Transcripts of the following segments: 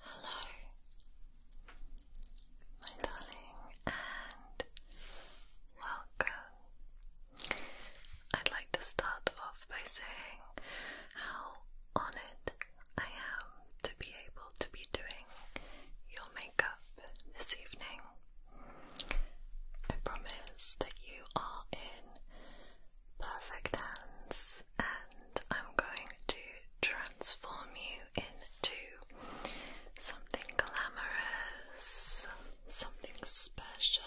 Hello, my darling, and welcome. I'd like to start off by saying how honored I am to be able to be doing your makeup this evening. I promise that you are in Perfect hands, and I'm going to transform you into something glamorous, something special,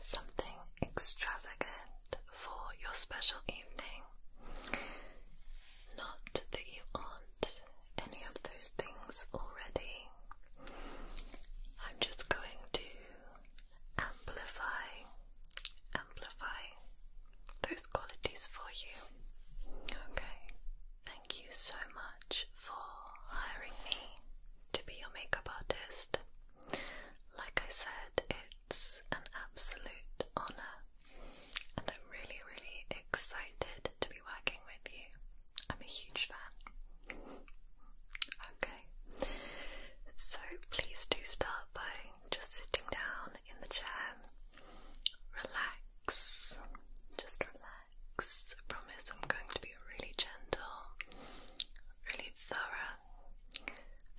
something extravagant for your special evening. Not that you aren't any of those things already. I'm just going to amplify, amplify those qualities for you. Okay, thank you so much for hiring me to be your makeup artist. Like I said, it's an absolute honor, and I'm really, really excited to be working with you. I'm a huge fan. Okay. So please do start by just sitting down in the chair. Relax. Just relax. I promise I'm going to be really gentle, really thorough,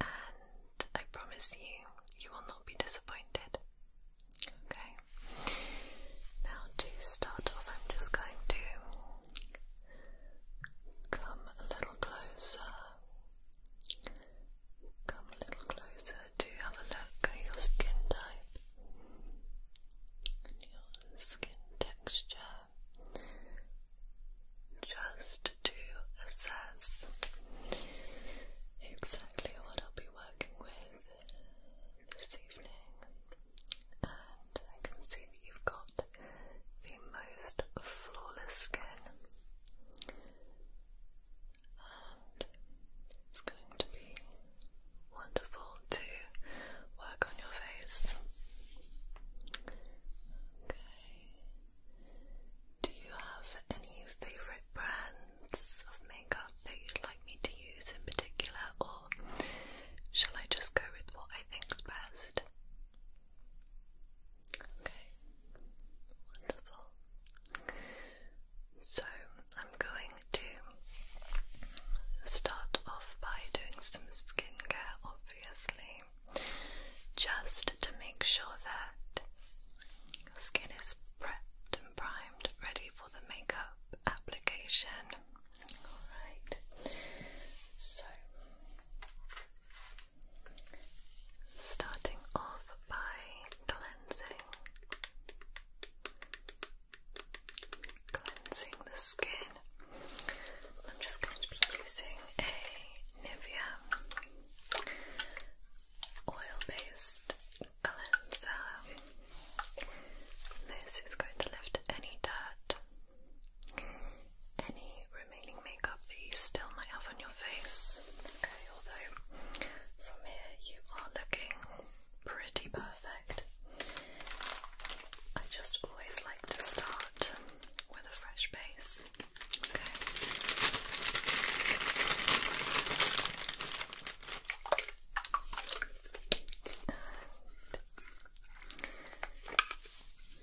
and I promise you, you will not be disappointed. Okay. Now to start off, I'm just going to Come a little closer. Come a little closer to have a look at your skin type your skin texture just to assess exactly what I'll be working with this evening I can see that you've got the most flawless skin. And it's going to be wonderful to work on your face. Okay. Do you have any favourite brands of makeup that you'd like me to use in particular, or shall I just go with what I think's best? Okay, wonderful. So, I'm going to start off by doing some skincare, obviously, just to make sure that your skin is prepped and primed, ready for the makeup application. Alright, so Starting off by cleansing. Cleansing the skin. I'm just going to be using a Nivea oil-based cleanser. This is going to lift any dirt any remaining makeup that you still might have on your face. Okay, although from here you are looking pretty perfect. I just always like to start with a fresh base. Okay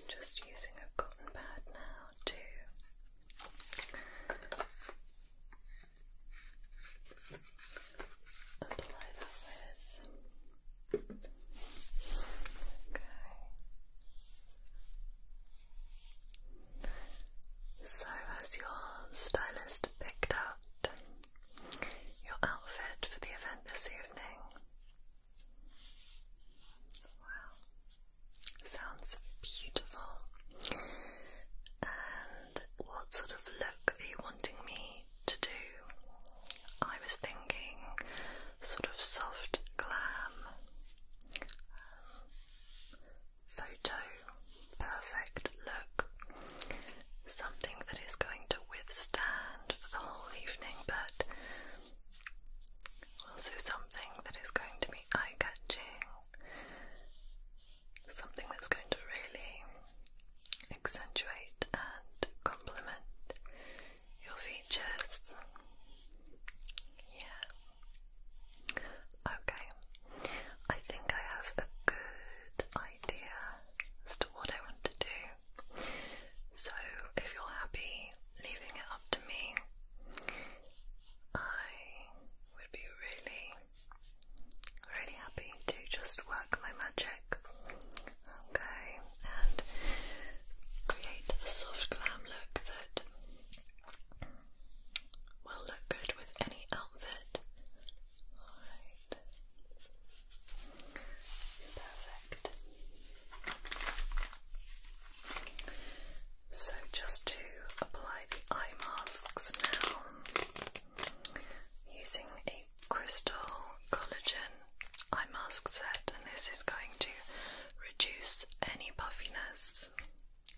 just using a cotton pad now to apply that with. Okay. So, has your stylist picked out your outfit for the event this evening? Wow, sounds beautiful. And what sort of look are you wanting me to do? I was thinking sort of soft glam, photo perfect look, something that is going to withstand for the whole evening but also, something that is going to be eye catching, something that's going to really accentuate and complement your features. Yeah. Okay. I think I have a good idea as to what I want to do. So, if you're happy leaving it up to me, I would be really, really happy to just work my magic, okay, and create a soft glam look that will look good with any outfit. Perfect. So, just to apply the eye masks now, using a crystal collagen eye mask set, and this is going to reduce any puffiness.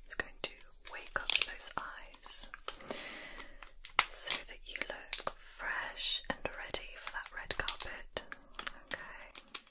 It's going to wake up those eyes so that you look fresh and ready for that red carpet. Okay.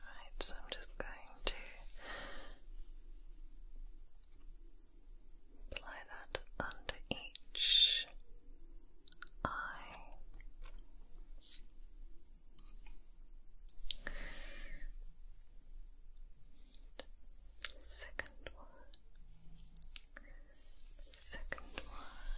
Alright, so I'm just going to apply that under each eye. Second one second one.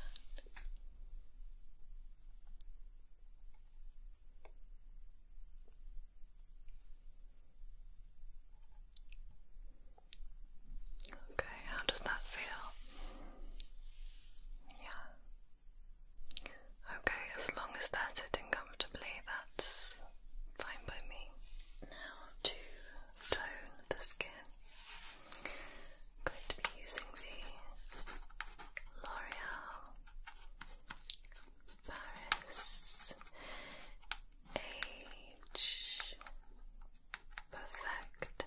Okay, how does that feel? Yeah. Okay, as long as that's are comfortably, that's fine by me. Now to tone the skin going to be using the L'Oreal Paris Age Perfect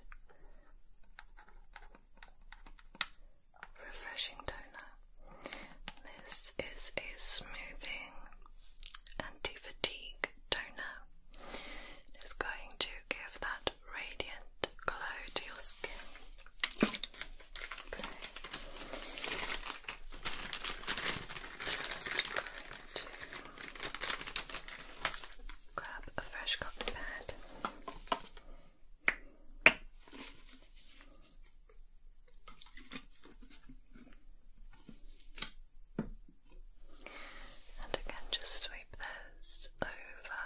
Refreshing Toner. This is a smoothing anti-fatigue toner. It's going to give that radiant glow to your skin. Just going to grab a fresh cotton pad. And again, just sweep those over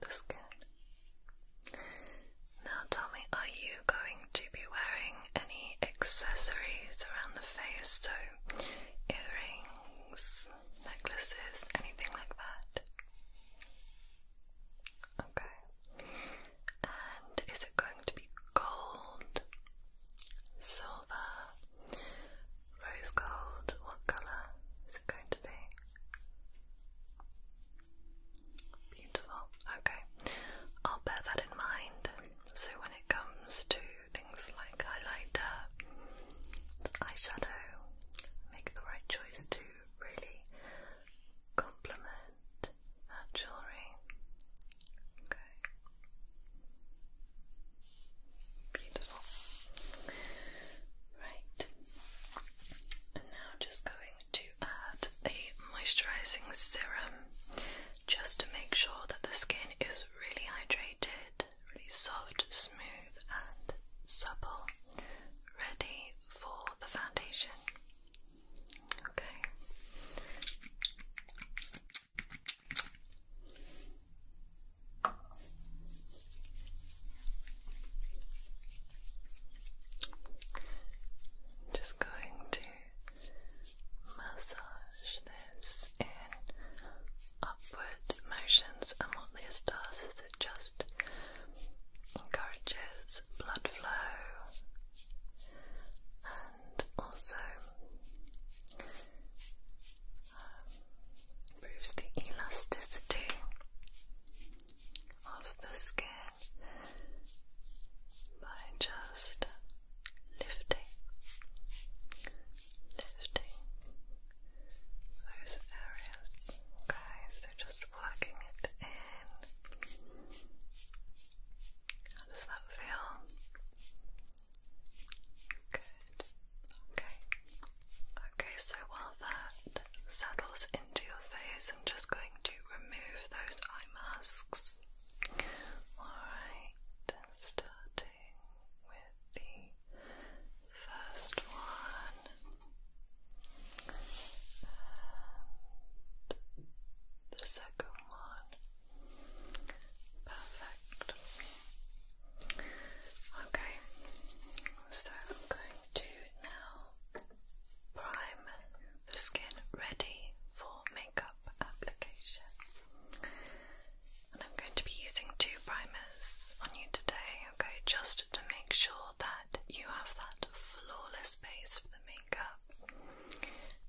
the skin. Now tell me, are you going to be wearing any accessories around the face? So, earrings, necklaces, anything like that? Okay. And is it going to be gold, silver, Rose gold, what colour is it going to be? Beautiful. Okay, I'll bear that in mind. So when it comes to things like highlighter, eyeshadow, make the right choice to really complement that jewellery. Okay. Beautiful. Right. And now just going to add a moisturizing serum just to make sure that the skin is really hydrated, really soft, smooth, and supple, ready for the foundation. Okay. I'm just going to massage this in upward motions, and what this does is it just encourages blood flow and also improves the elasticity of the skin by just lifting, lifting those areas. Okay, so just working it in. How does that feel? Good. Okay. Okay, so while that settles into your face, I'm just going to remove those eye masks. Alright, starting with the first one. And the second one. Perfect. Okay, so I'm going to now prime the skin ready for makeup application. And I'm going to be using two primers on you today, okay, just to make sure that you have that flawless base for the makeup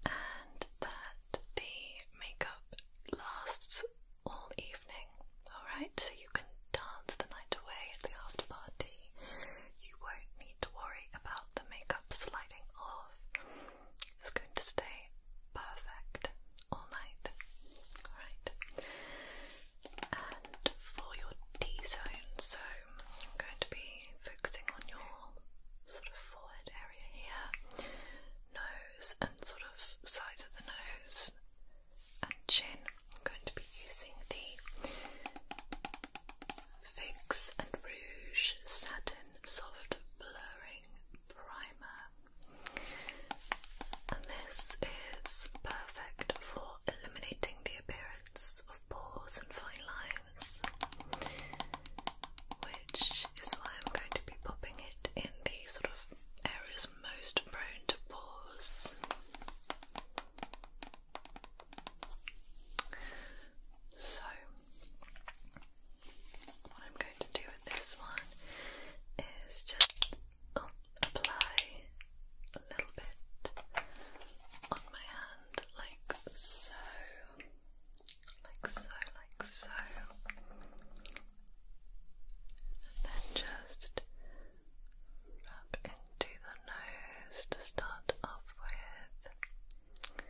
and that the makeup lasts all evening, alright? So you can dance the night away at the after party. You won't need to worry about the makeup sliding off. It's going to stay perfect all night, alright? And for your D zone, so I'm going to be focusing on your sort of forehead area here, nose and sort of sides of the nose and chin. I'm going to be using the Fix and Rouge Satin Soft Blurring Primer. And this is perfect for eliminating the appearance of pores and fine lines, which is why I'm going to be popping it in the sort of areas most prone to pores. So, what I'm going to do with this one is just oh, apply a little bit on my hand, like so, like so, like so. then just rub into the nose to start off with.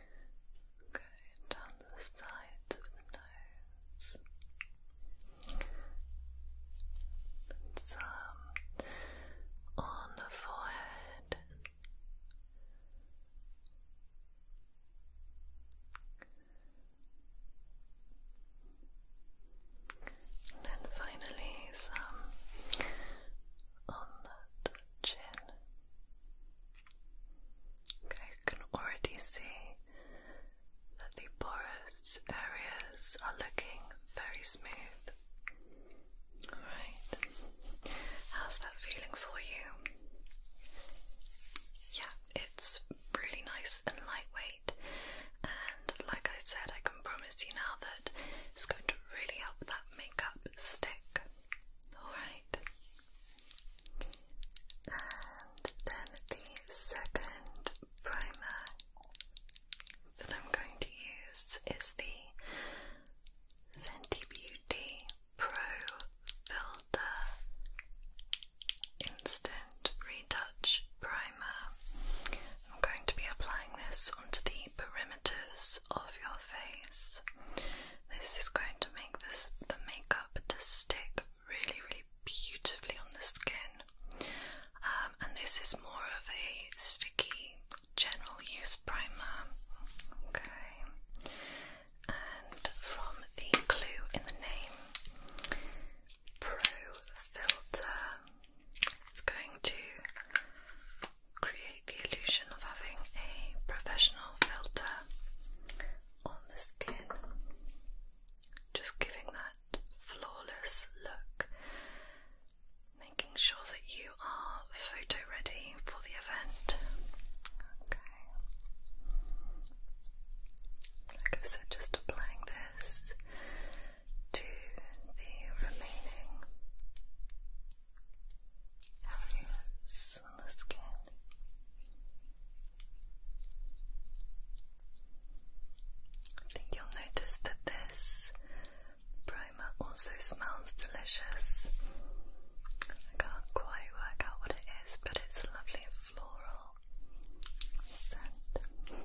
Go down the sides of the nose. some on the forehead. And then finally some on the chin. Okay, you can already see that the porous areas are looking very smooth. Alright, how's that feeling for you? Yeah, it's really nice and lightweight. And like I said, I can promise you now that it's going to really help that makeup stick. Alright. And then the second primer that I'm going to use is the Fenty Beauty Pro Filter Instant Retouch Primer. I'm going to be applying this onto the perimeters of your face. This is going to make this the makeup to stick really, really beautifully on the skin. Um, and this is more of a sticky general use primer. Okay. And from the clue in the name, Pro Filter. It's going to create the illusion of having a professional filter on the skin, just giving that flawless look, making sure that you are photo ready for the event. Like I said, just applying this to the remaining areas on the skin. I think you'll notice that this primer also smells delicious. I can't quite work out what it is, but it's lovely floral scent. Okay.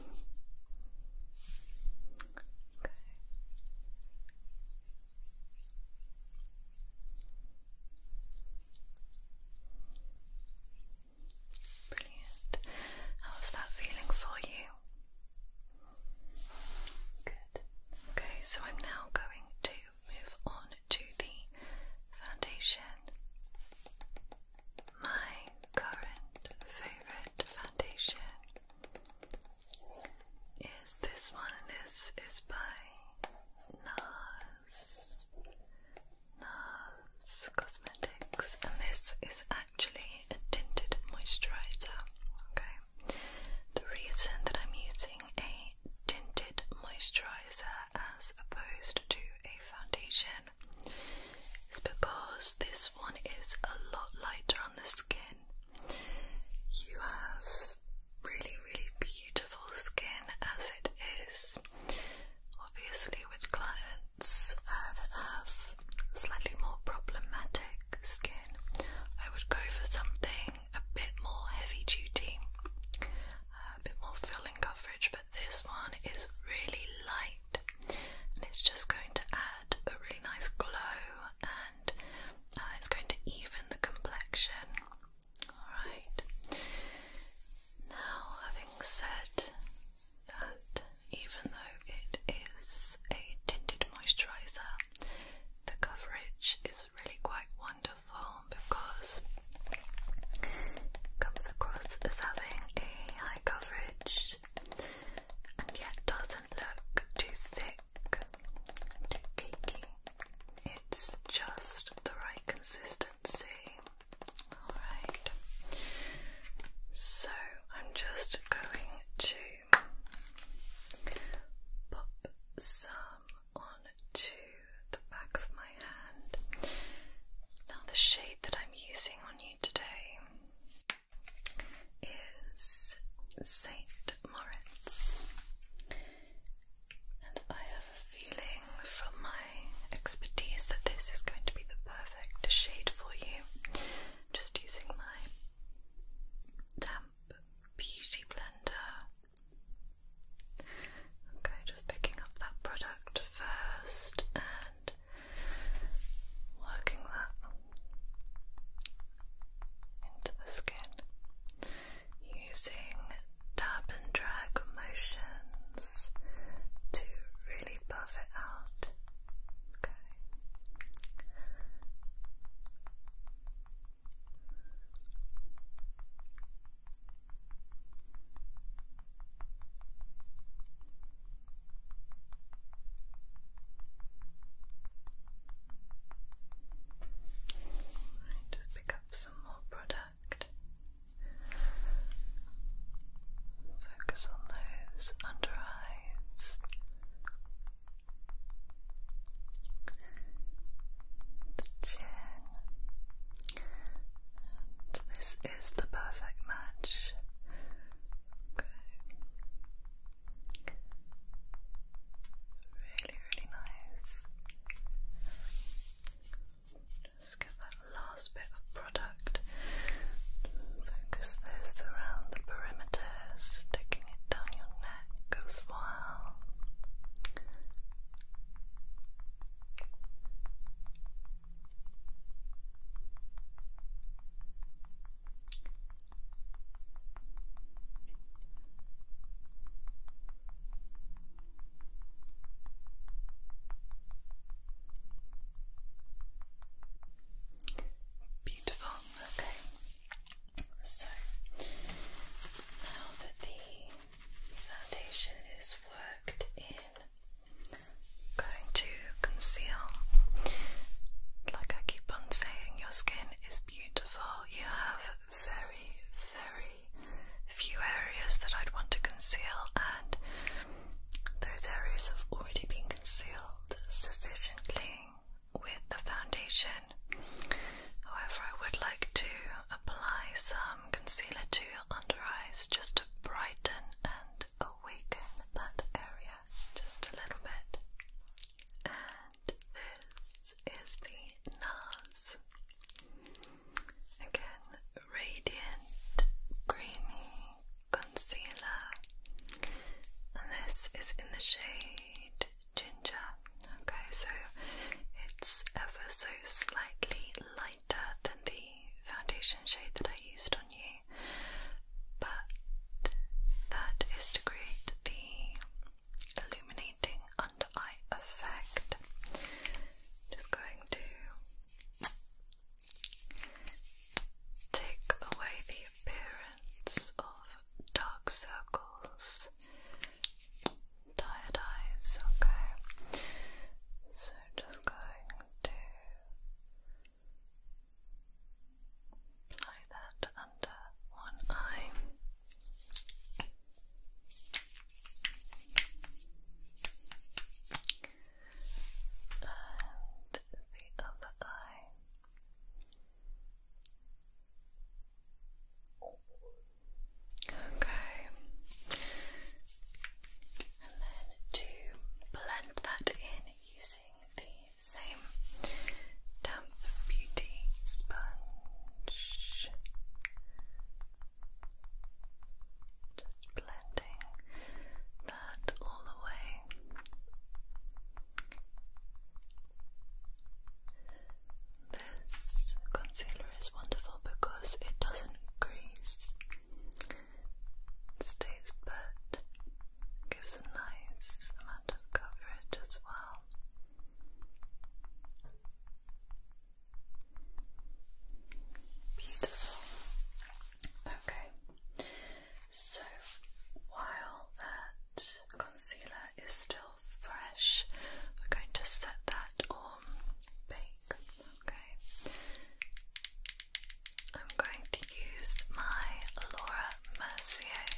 Brilliant. How's that feeling for you? Good. Okay, so I'm now going to move on to the foundation my current favorite foundation is this one. This is by NARS, NARS Cosmetics, and this is actually a tinted moisturizer. Okay, the reason that I'm using a tinted moisturizer as opposed to a foundation it's because this one is a lot lighter on the skin. You have really, really beautiful skin as it is. Obviously, with clients that have slightly more problematic skin, I would go for something a bit more heavy duty, a bit more filling coverage this one is really light and it's just going to add a really nice glow and uh, it's going to even the complexion. Alright, now having said that, even though it is a tinted moisturiser, the coverage is really quite wonderful because comes across as having a high coverage and yet doesn't look too thick, too cakey. It's just the right consistency. Alright, so I'm just going to pop some onto the back of my hand. Now, the shade that I'm using on you today is Saint Moritz, and I have a feeling from my expertise that this is going to be the perfect shade for you. just using my damp beauty blender. Okay, just picking up that product first and working that into the skin using dab and drag motions to really buff it out. Okay. Right, just pick up some more product. Focus on those under eyes. The chin, this is the perfect match. Okay. Really, really nice. Just get that last bit of product. Focus this around the perimeter, sticking it down your neck as well. Beautiful, okay. So now that the foundation is worked in, going to conceal. Like I keep on saying, your skin is beautiful. You have very, very few areas that I'd want to conceal, and those areas have already been concealed sufficiently with the foundation. However, I would like to apply some concealer to your under eyes just to brighten and awaken that area just a little bit. And this is the NARS. Again, Radiant Creamy Concealer. And this is in the shade Ginger. Okay, so it's ever so slightly light than the foundation shade that I used on you, but that is to create the illuminating under eye effect. Just going to take away the appearance of dark circles, tired eyes, okay? So just going to apply that under one eye. And the other eye. Okay and then to blend that in using the same damp beauty sponge. Just blending that all the This concealer is wonderful because it doesn't grease, stays put, gives a nice amount of coverage as well. Beautiful. Okay, so while that concealer is still fresh, we're going to set that on bake. Okay. I'm going to use my Laura Mercier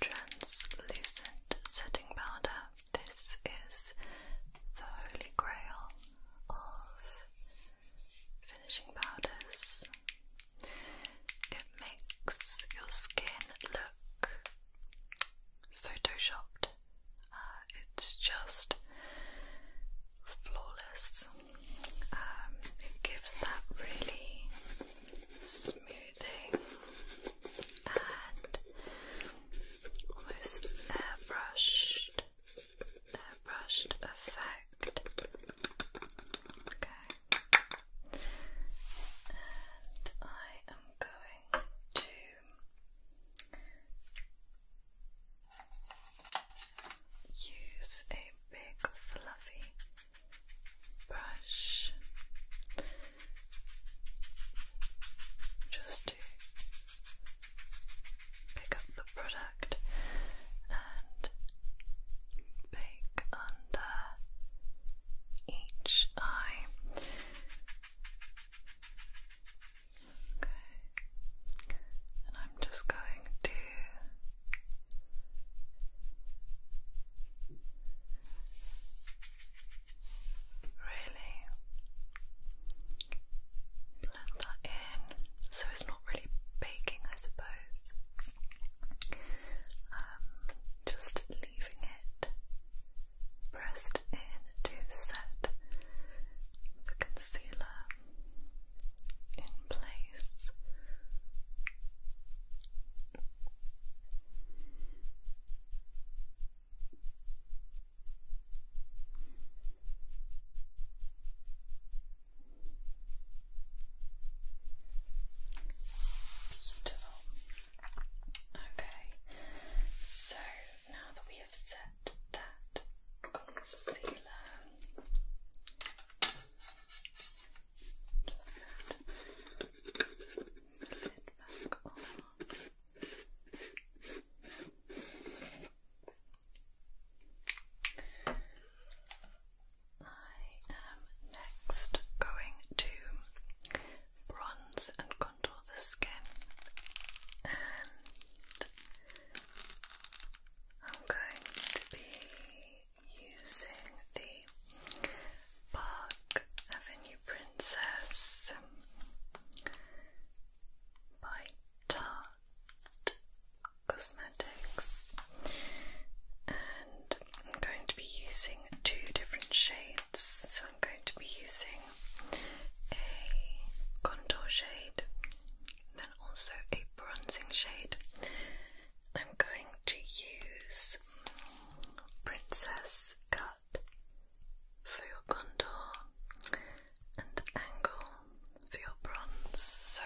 translucent setting powder. This is the holy grail of finishing powders. It makes your skin look photoshopped it's just flawless. Um, it gives that really smoothing and almost airbrushed, airbrushed effect. Okay, and I am going to use a big fluffy brush just to pick up the product and bake under each eye. Okay. And I'm just going to really blend that in so it's not really baking, I suppose. Um, just leaving it pressed in to set the concealer in place. Beautiful. Okay, so now that we have set that concealer. Just going to move it back on. I am next going to bronze and contour the skin I'm going to be using the Park Avenue Princess um, by Tarte Cosmetics, and I'm going to be using two different shades. So I'm going to be using a contour shade then also a bronzing shade. I'm going to use Princess Cut for your gondor and Angle for your bronze. So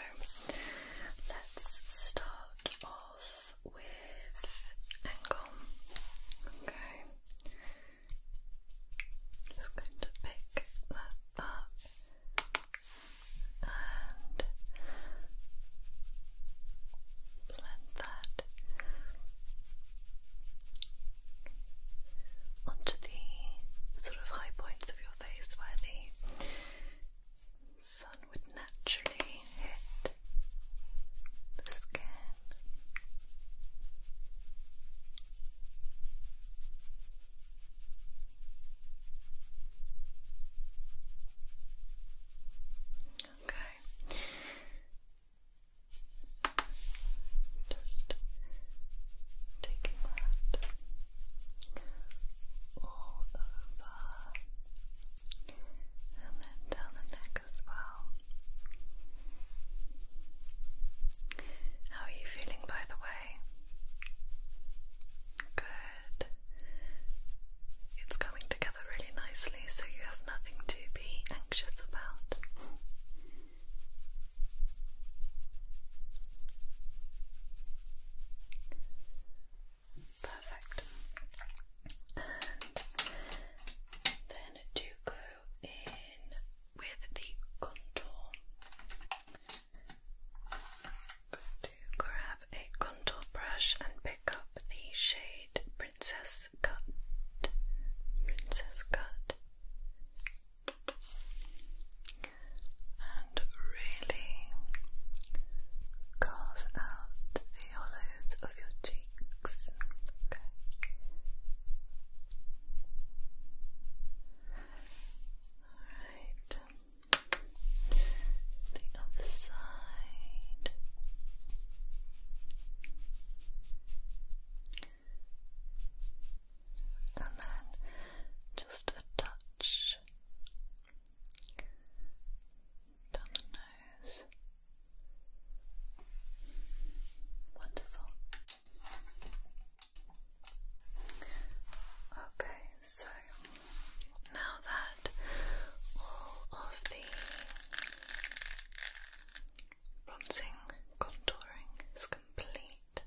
let's start off with Angle. Okay. Just going to pick up and blend that onto the sort of high points of your face where the sun would naturally hit the skin. Okay. Just taking that all over and then down the neck as well. How are you feeling by the way? away. Good. It's coming together really nicely, so you have nothing to be anxious about. Perfect. And then do go in with the contour grab a contour brush and pick up the shade Princess Cut. Princess Cut. And really carve out the hollows of your cheeks. Okay. The other side. And then just a touch down the nose. Wonderful. Okay, so now that all of the bronzing contouring is complete,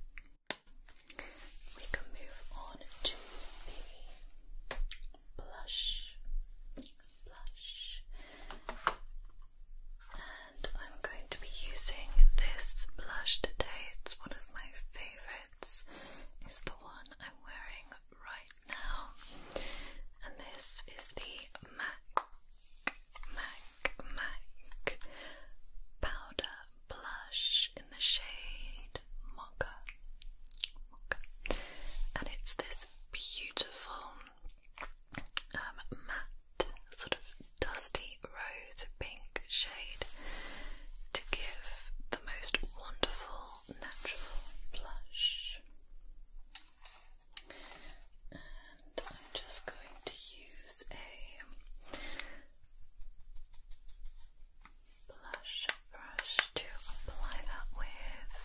we can move on to the blush. Blush, and I'm going to be using this blush today. It's one of my favorites is the one I'm wearing right now, and this is the MAC MAC MAC powder blush in the shade Mocha, and it's this beautiful um, matte sort of dusty rose pink shade to give the most wonderful natural blush. And I'm just going to use a blush brush to apply that with.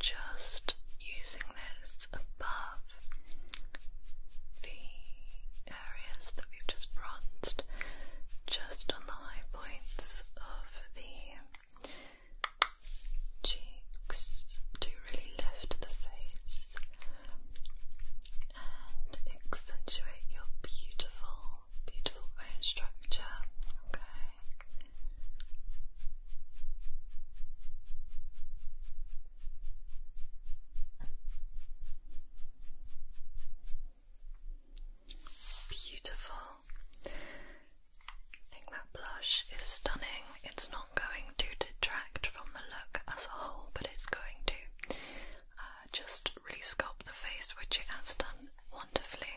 Just using this above the areas that we've just bronzed just on the high points of the cheeks to really lift the face and accentuate your beautiful, beautiful bone structure. Okay. Beautiful. I think that blush is stunning. It's not going to detract from the look as a whole, but it's going to uh, just really sculpt the face, which it has done wonderfully.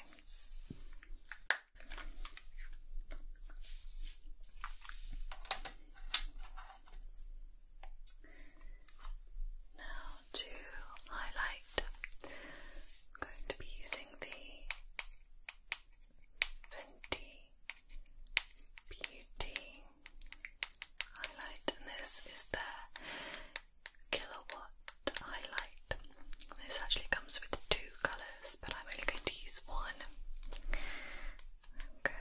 Now to highlight, I'm going to be using the Fenty Beauty highlight, and this is their kilowatt highlight. This actually comes with two colours, but I'm only going to use one. Okay.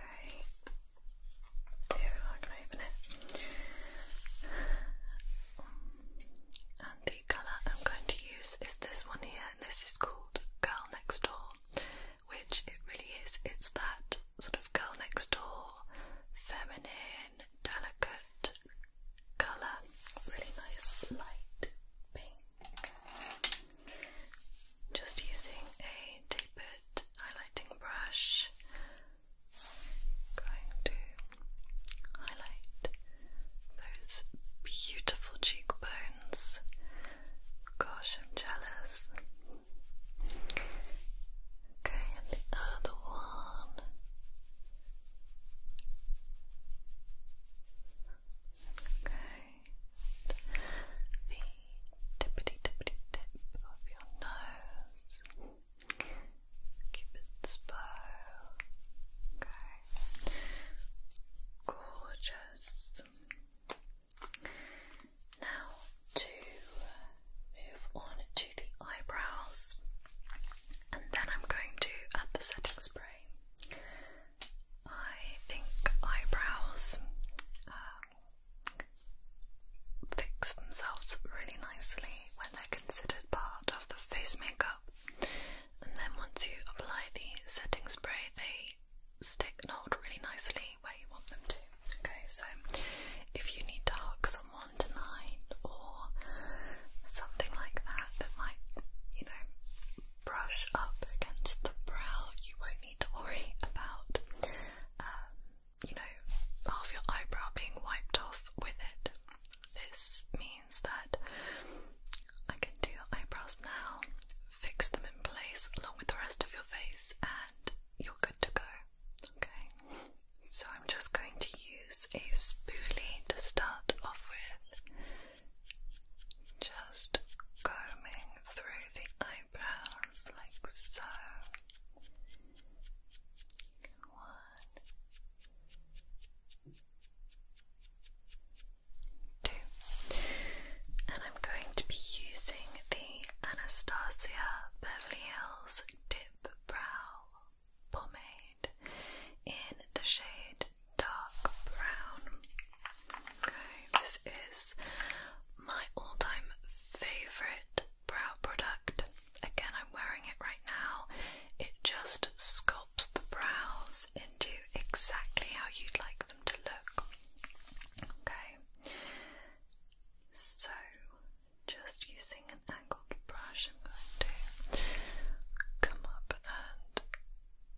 There, I can open it. And the colour I'm going to use is this one here, and this is called Girl Next Door, which it really is. It's that sort of girl next door, feminine, delicate colour. Really nice light pink. Just using a tapered highlighting brush. Going to highlight those beautiful cheekbones. Gosh, I'm jealous. Okay, the other one. Okay. The tippity tippity tip of your nose. Keep it slow. Gorgeous. Now to move on to the eyebrows, and then I'm going to add the setting spray. I think eyebrows uh, fix themselves really nicely when they're considered part of the face makeup. And then once you apply the setting spray, they stick not really nicely where you want them to. Okay, so if you need to hug someone tonight or something like that that might, you know, brush up against the brow, you won't need to worry about um, you know, half your eyebrow being wiped off with it. This means that I can do your eyebrows now, fix them in place along with the rest of your face, and you're good to go. Okay? So I'm just going to use a spoolie to start off with. Just combing through the eyebrows eyebrows like so. One, two, and I'm going to be using the Anastasia Beverly Hills Dip Brow Pomade in the shade dark brown. Okay, this is my all-time favorite brow product. Again, I'm wearing it right now. It just sculpts the brows into exactly how you'd like them to look. Okay, so just using an angled brush, I'm going to come up and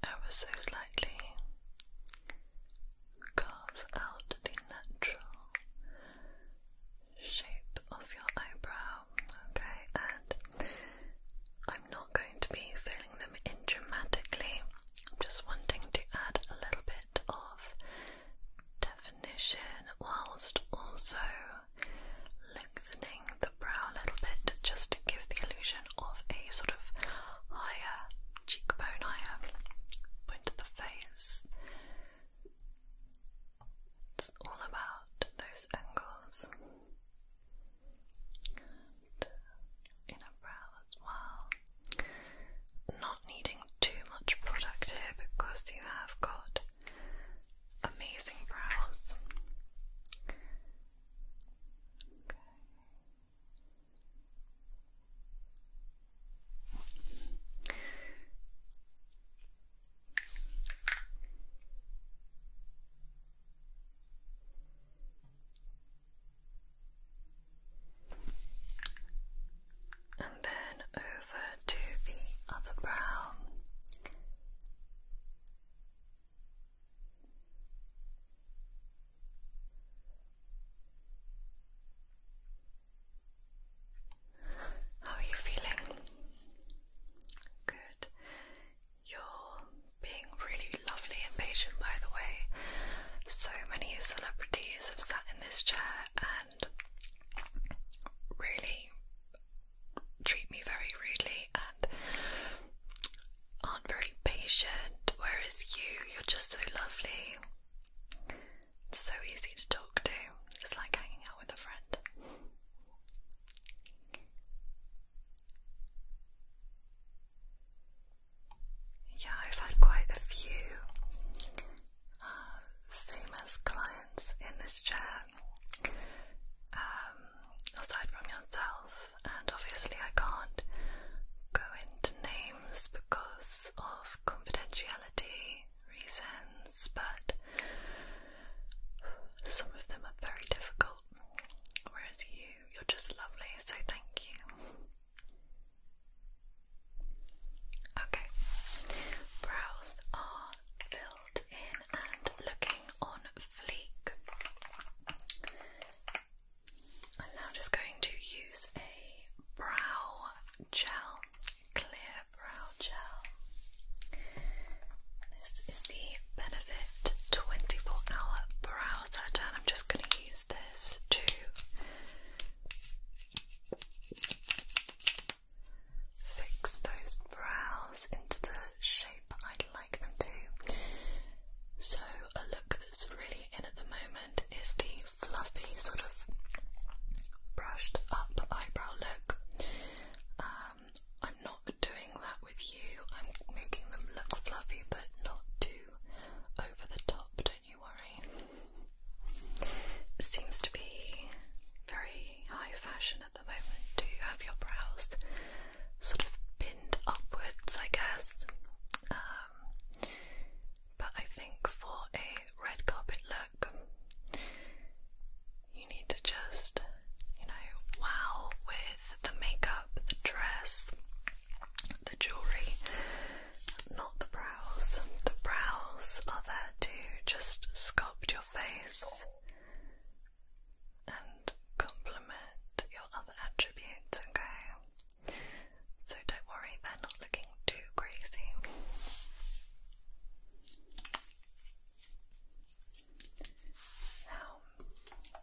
ever so slightly carve out the natural shape of your eyebrow, okay? And I'm not going to be filling them in dramatically, I'm just wanting to add a little bit of definition whilst also lengthening the brow a little bit just to give the illusion of a sort of higher cheekbone, higher point of the face. It's all about those angles and inner brow as well. Not needing too much product here because you have got amazing brows. And then over to the other brow. How are you feeling? Good. You're being really lovely and patient, by the way. So many celebrities have sat in this chair and really treat me very rudely and aren't very patient, whereas you, you're just so lovely. It's so easy to talk to. It's like hanging out with a friend. Yeah, I've had quite a few uh, famous clients in this chair, um, aside from yourself, and obviously I can't go into names because of confidentiality reasons, but some of them are very difficult. Whereas you, you're just lovely, so thank you. Okay, brows are filled in and looking on fleek. I'm now just going to use a brow gel. Clear Brow Gel. This is the Benefit 24 Hour Brow Set, and I'm just going to use this to fix those brows into the shape i like them to. So, a look that's really in at the moment is the fluffy sort of brushed up eyebrow look. Um, I'm not doing that with you. I'm making them look fluffy, but not too over the top. Don't you worry. seems to be very high fashion at the moment Do you have your brows sort of pinned upwards, I guess. Um, but I think for a red carpet look, you need to just, you know, wow with the makeup, the dress, the jewellery, not the brows. The brows are there to just sculpt your face and complement your other attributes, okay? So don't worry, they're not looking too crazy. Now,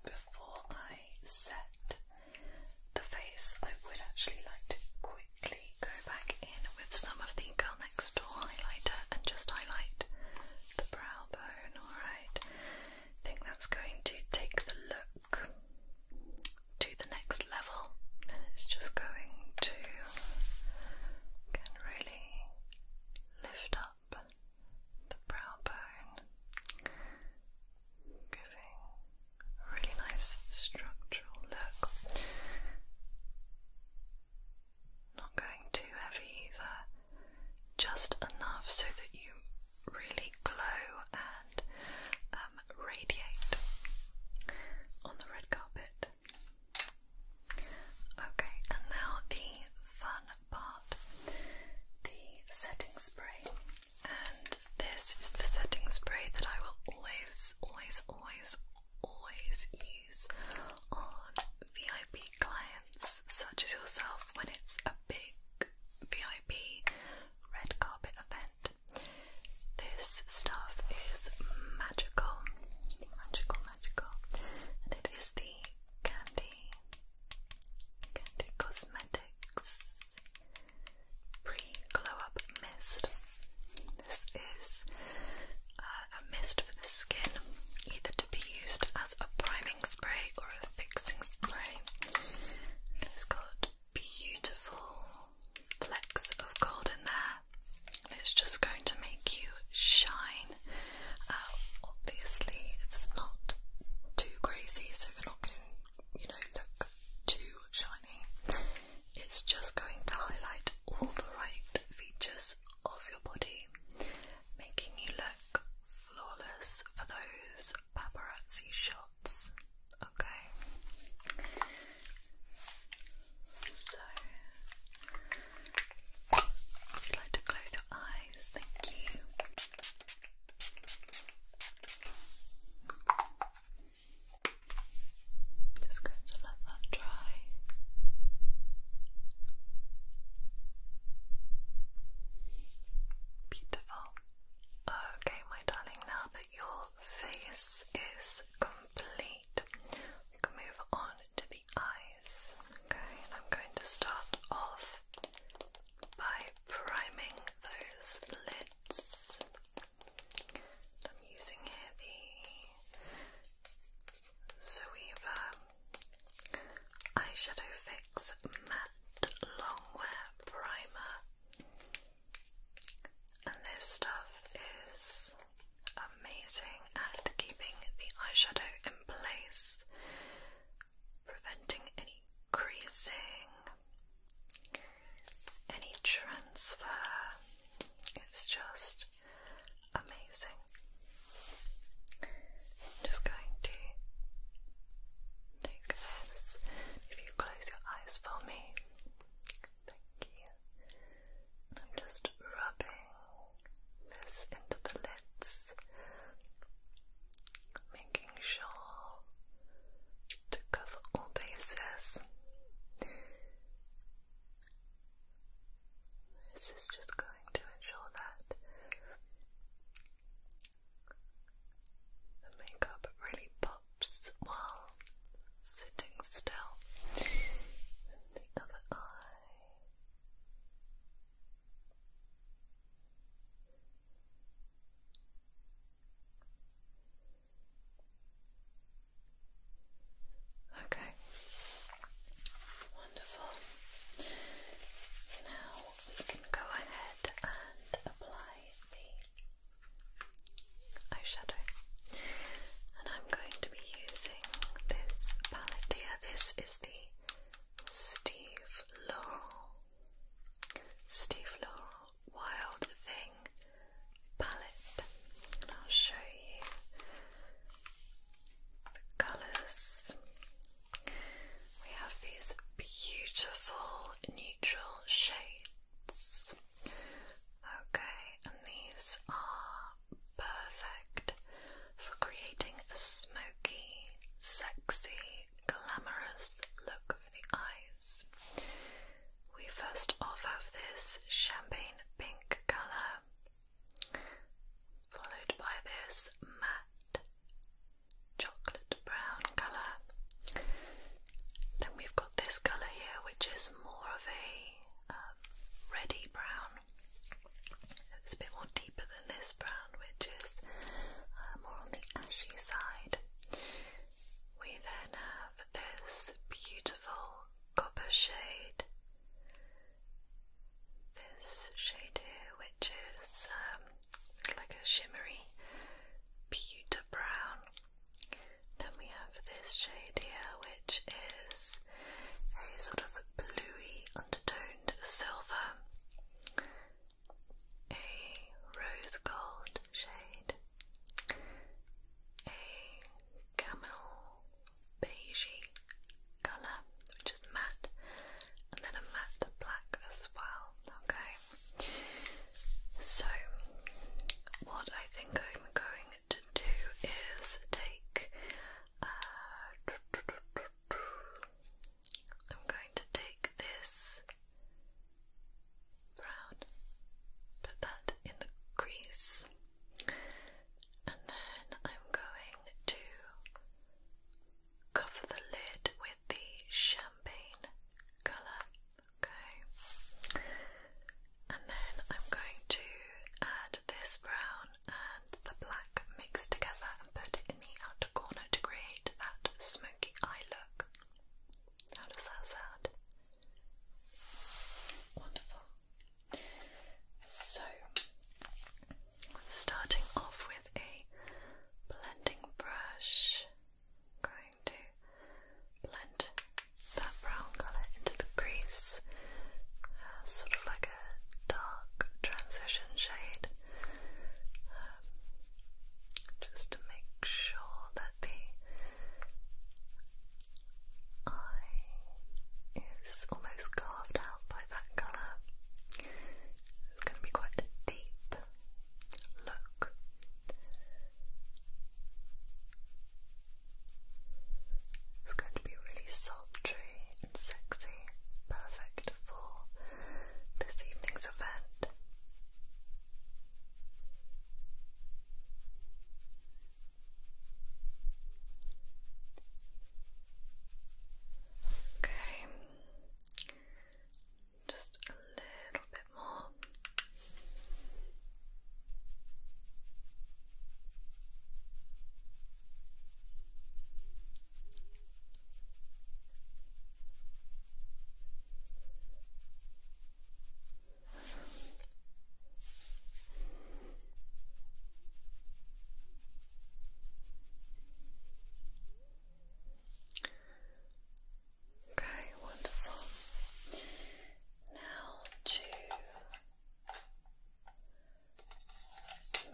before I set the face, I would actually like to quickly go back in with some of the Girl Next Door highlighter and just highlight the brow bone, alright? I think that's going to take the look to the next level, and it's just going to can really lift up the brow bone, giving a really nice structural look. Not going too heavy either, just enough so that you really glow and um, radiate on the red carpet. Okay, and now the fun part the setting spray. And this is the setting spray that I will always, always, always, always use on VIP clients such as yourself when it's a big VIP red carpet event. This stuff is magical, magical, magical, and it is the Candy Candy Cosmetics Pre Glow Up Mist. This is uh, a mist for the skin, either to be used as a priming spray or a fixing spray. It's got beautiful flecks of gold in there. It's just going to make you shine. Uh, obviously, it's not too crazy, so you're not going to, you know, look too shiny. It's just going to highlight all the right features of your body, making you look flawless for those paparazzi shots. Okay. So, would you like to close your eyes? Thank you. Just going to let that dry. Beautiful. Okay, my darling, now that your face is complete, move on to the eyes. Okay, I'm going to start off by priming those lids. I'm using here the Zoeva Eyeshadow Fix Matte Longwear Primer. And this stuff is amazing at keeping the eyeshadow in place, preventing any creasing, any transfer. It's just amazing. just going to take this. If you close your eyes for me, Thank you. I'm just rubbing this into the lids, making sure to cover all bases. This is just going to ensure that the makeup really pops while sitting still. the other eye. Okay. Wonderful. Now we can go ahead and apply the eyeshadow. And I'm going to be using this palette here. This is the Steve Laurel, Steve Laurel Wild Thing palette. And I'll show you the colours. We have these beautiful neutral shades. Okay, and these are perfect for creating a smoky, sexy, glamorous look for the eyes. We first off have this champagne pink colour, followed by this matte chocolate brown colour. Then we've got this colour here, which is more of a um, brown. It's a bit more deeper than this brown, which is uh, more on the ashy side. We then have this beautiful copper shade. This shade here, which is um, like a shimmery pewter brown. Then we have this shade here, which is a sort of bluey undertoned silver, a rose gold shade, a camel beigey colour, which is matte, and then a matte black as well. Okay, so what I think I'm going to do is take. Uh, I'm going to take this brown, put that in the crease, and then I'm going to cover the lid with the champagne colour. Okay. And then I'm going to add this brown and the black mixed together and put it in the outer corner to create that smoky eye look. How does that sound? Wonderful. So, starting off with a blending brush, going to blend that brown colour into the crease uh, sort of like a dark transition shade um, just to make sure that the eye is almost carved out by that colour it's going to be quite a deep look it's going to be really sultry and sexy, perfect for this evening's event. Okay, just a little bit more. Okay, wonderful. Now to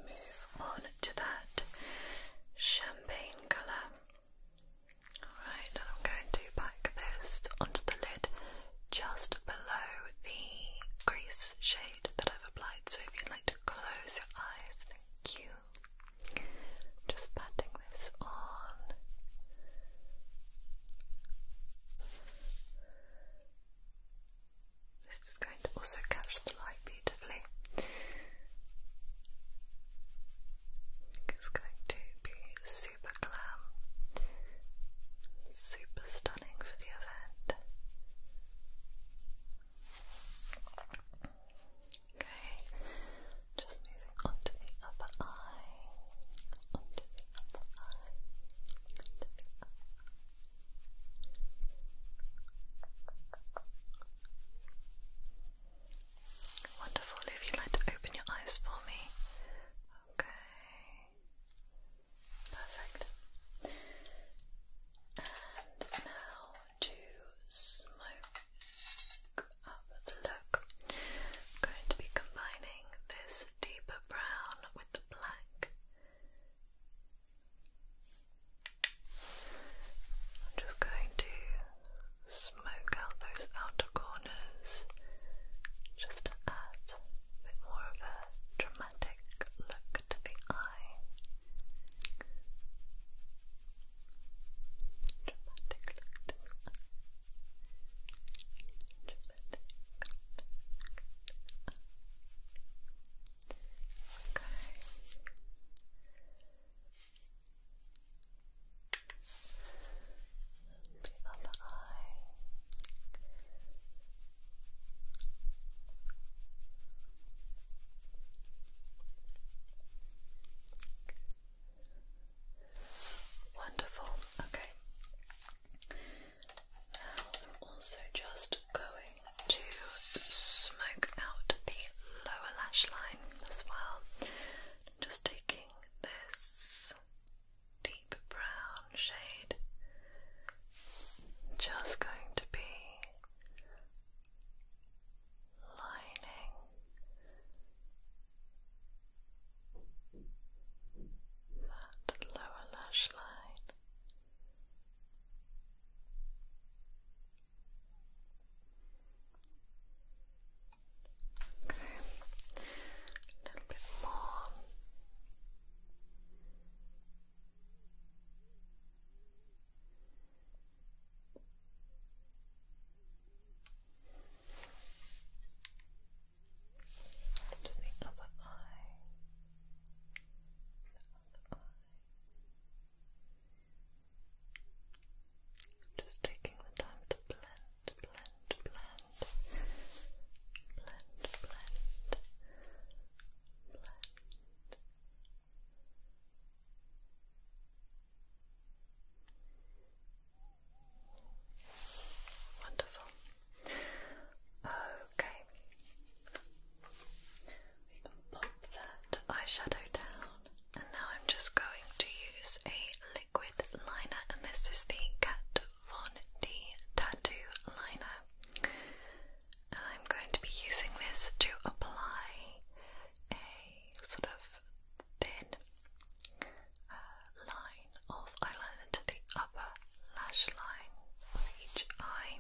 Move on to that champagne colour. Alright, and I'm going to pack this onto the lid just below the crease shade that I've applied. So if you'd like to close your eyes, thank you. Just patting this on. This is going to also catch the light beautifully. It's going to be super glam, super stunning for the event. Okay, just moving on the upper eye, onto the upper eye, onto the upper Wonderful. If you'd like to open your eyes for me. Okay. Perfect. And now to smoke up the look. I'm going to be combining this deeper brown with the black I'm just going to smoke out those outer corners just to add a bit more of a dramatic look to the eye. Dramatic look Okay. And the other eye. Wonderful. Okay. I'm also just going to smoke out the lower lash line as well. just taking this deep brown shade, just going to be lining. That lower lash line Okay, a little bit more. Okay to the other eye. The other eye. Just taking the time to blend, blend, blend, blend, blend, blend. Wonderful. Okay. We can pop that eyeshadow down, and now I'm just going to use a liquid liner, and this is the Kat Von D Tattoo Liner. And I'm going to be using this to apply a sort of thin uh, line of eyeliner to the upper lash line on each eye.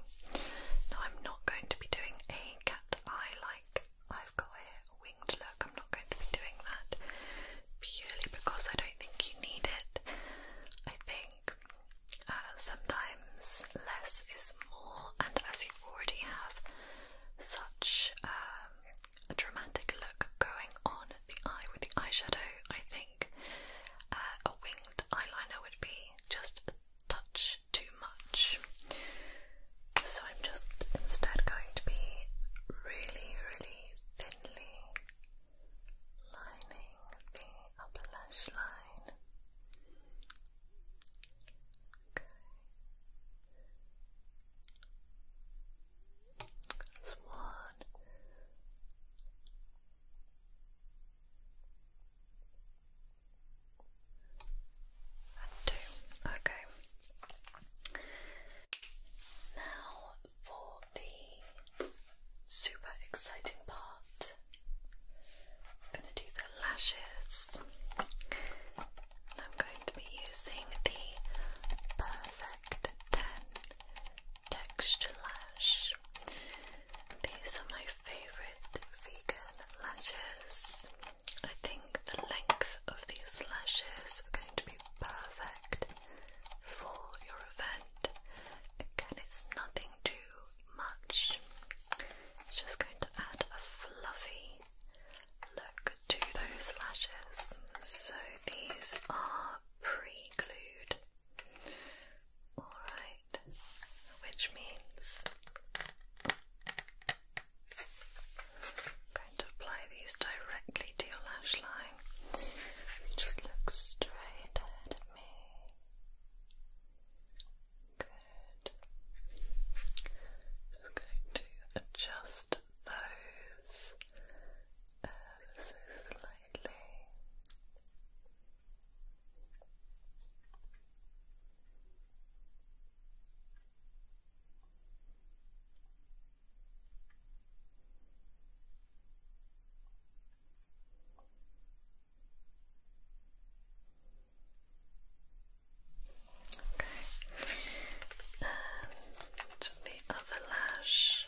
Now, I'm not going to be doing a cat eye like I've got a winged look. I'm not going to be doing that purely because I don't think you need it. I think uh, sometimes less is more, and as you already have such um, a dramatic look going on at the eye with the eyeshadow, I think. Uh, a winged eyeliner would be just touch too much. So I'm just instead going to be really, really thinly lining the upper lash line. Okay. one. Okay. Now for the super exciting part. I'm going to do the lashes. And I'm going to be using the Perfect 10 Texture Lash. These are my favorite vegan lashes. I think the length of these lashes are going to be perfect for your event. Again, it's nothing too much. It's just going to add a fluffy look to those lashes. So these are pre-glued. Alright, which means I'm going to apply these directly to your lash line. just look straight ahead at me. Good. Just going to adjust those so uh, slightly. Okay, and uh, the other lash.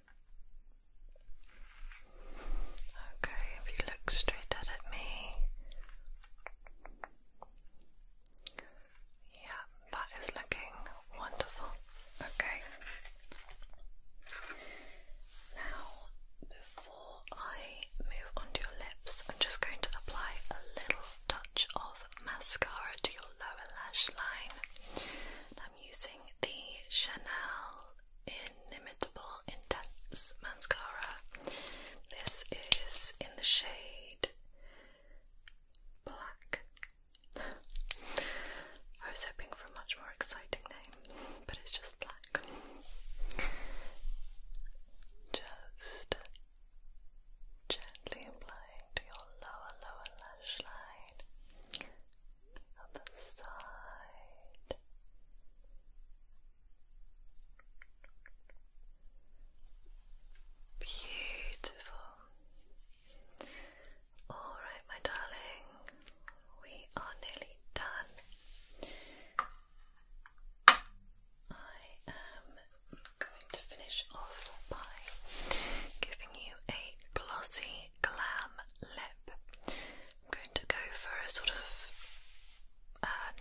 Okay, if you look straight at me. Yeah, that is looking wonderful. Okay. Now, before I move onto your lips, I'm just going to apply a little touch of mascara to your lower lash line. I'm using the Chanel Inimitable Intense Mascara. This is in the shade Black. I was hoping for a much more exciting name, but it's just black. Just gently applying to your lower, lower lash line. The side. Beautiful. All right, my darling, we are nearly done. I am going to finish off by giving you a glossy glam lip I'm going to go for a sort of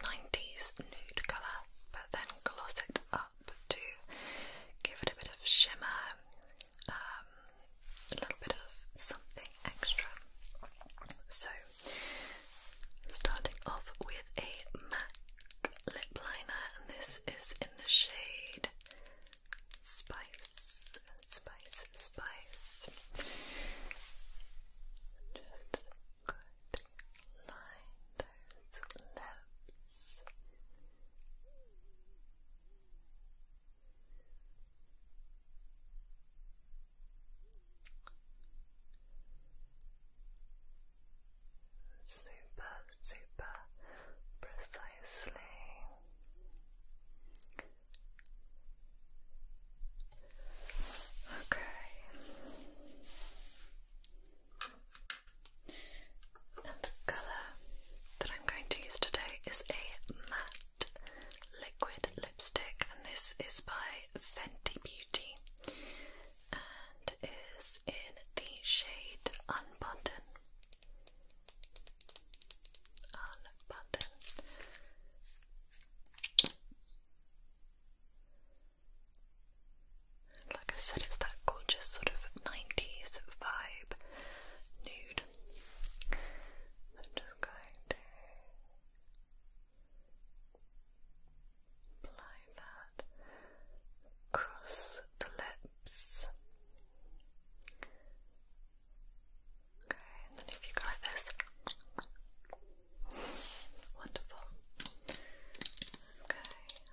90s uh, nude colour, but then gloss it up to give it a bit of shimmer, um, a little bit of something extra. So, starting off with a MAC lip liner, and this is in the shade Spice spice, spice. Just good line lips. Super, super precisely. Okay. And the colour that I'm going to use today is a matte liquid lipstick, and this is by Fenty Beauty and is in the shade Unbundled. Oh, like I said, it's that gorgeous sort of 90s vibe nude. I'm just going to apply that across the lips. Okay, and then if you go like this. Wonderful. Okay,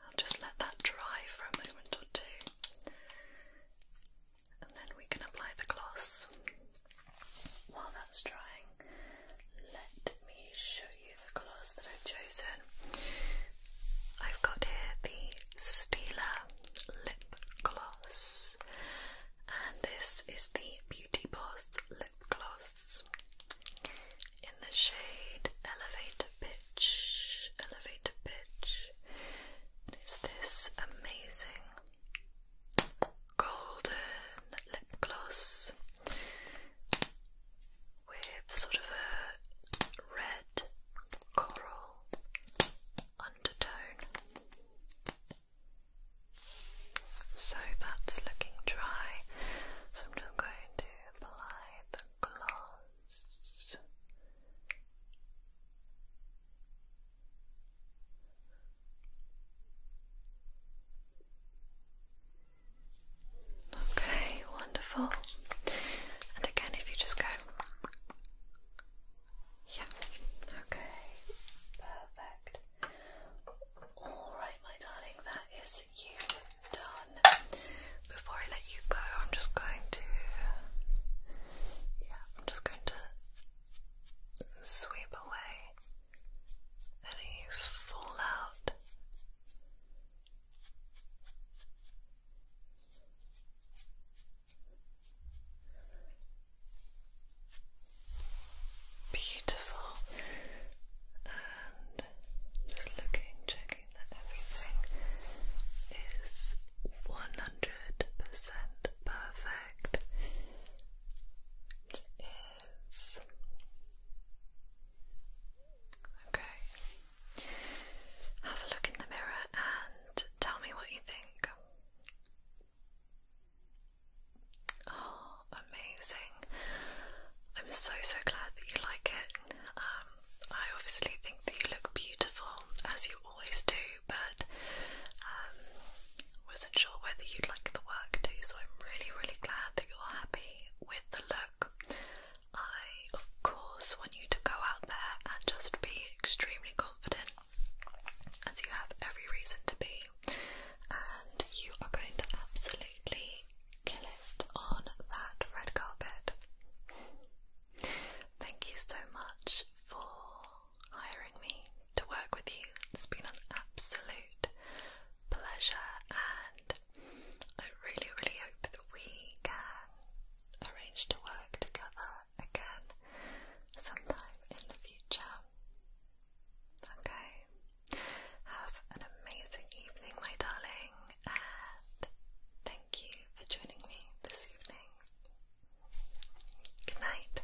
I'll just let that dry for a moment or two. And then we can apply the gloss. While that's drying, let me show you the gloss that I've chosen. I've got here the Stila Lip Gloss and this is the Beauty Boss Lip Gloss in the shade Elevator Pitch. Elevator Pitch. is this amazing golden lip gloss with sort of a red coral undertone. So that's looking dry. So I'm just going to apply the gloss. Okay, wonderful. And again, if you just go yeah. Okay. Perfect. All right, my darling, that is you done. Before I let you go, I'm just going to yeah, I'm just going to sweep away any fallout. Beautiful. And just looking, checking that everything is 100% perfect. It is. Okay. Have a look in the mirror and tell me what you think. Oh, amazing. I'm so, so glad that you like it. Um, I obviously think that you look beautiful, as you always do, but um, wasn't sure whether you'd like the work too, so I'm really, really glad that you're happy with the look. I, of course, want you to go out there and just be extremely confident, as you have every reason to be and you are going to absolutely kill it on that red carpet. Thank you so much for hiring me to work with you. It's been an absolute pleasure, and I really, really hope that we can arrange to work together again sometime in the future. Okay, have an amazing evening, my darling, and thank you for joining me this evening. Good night.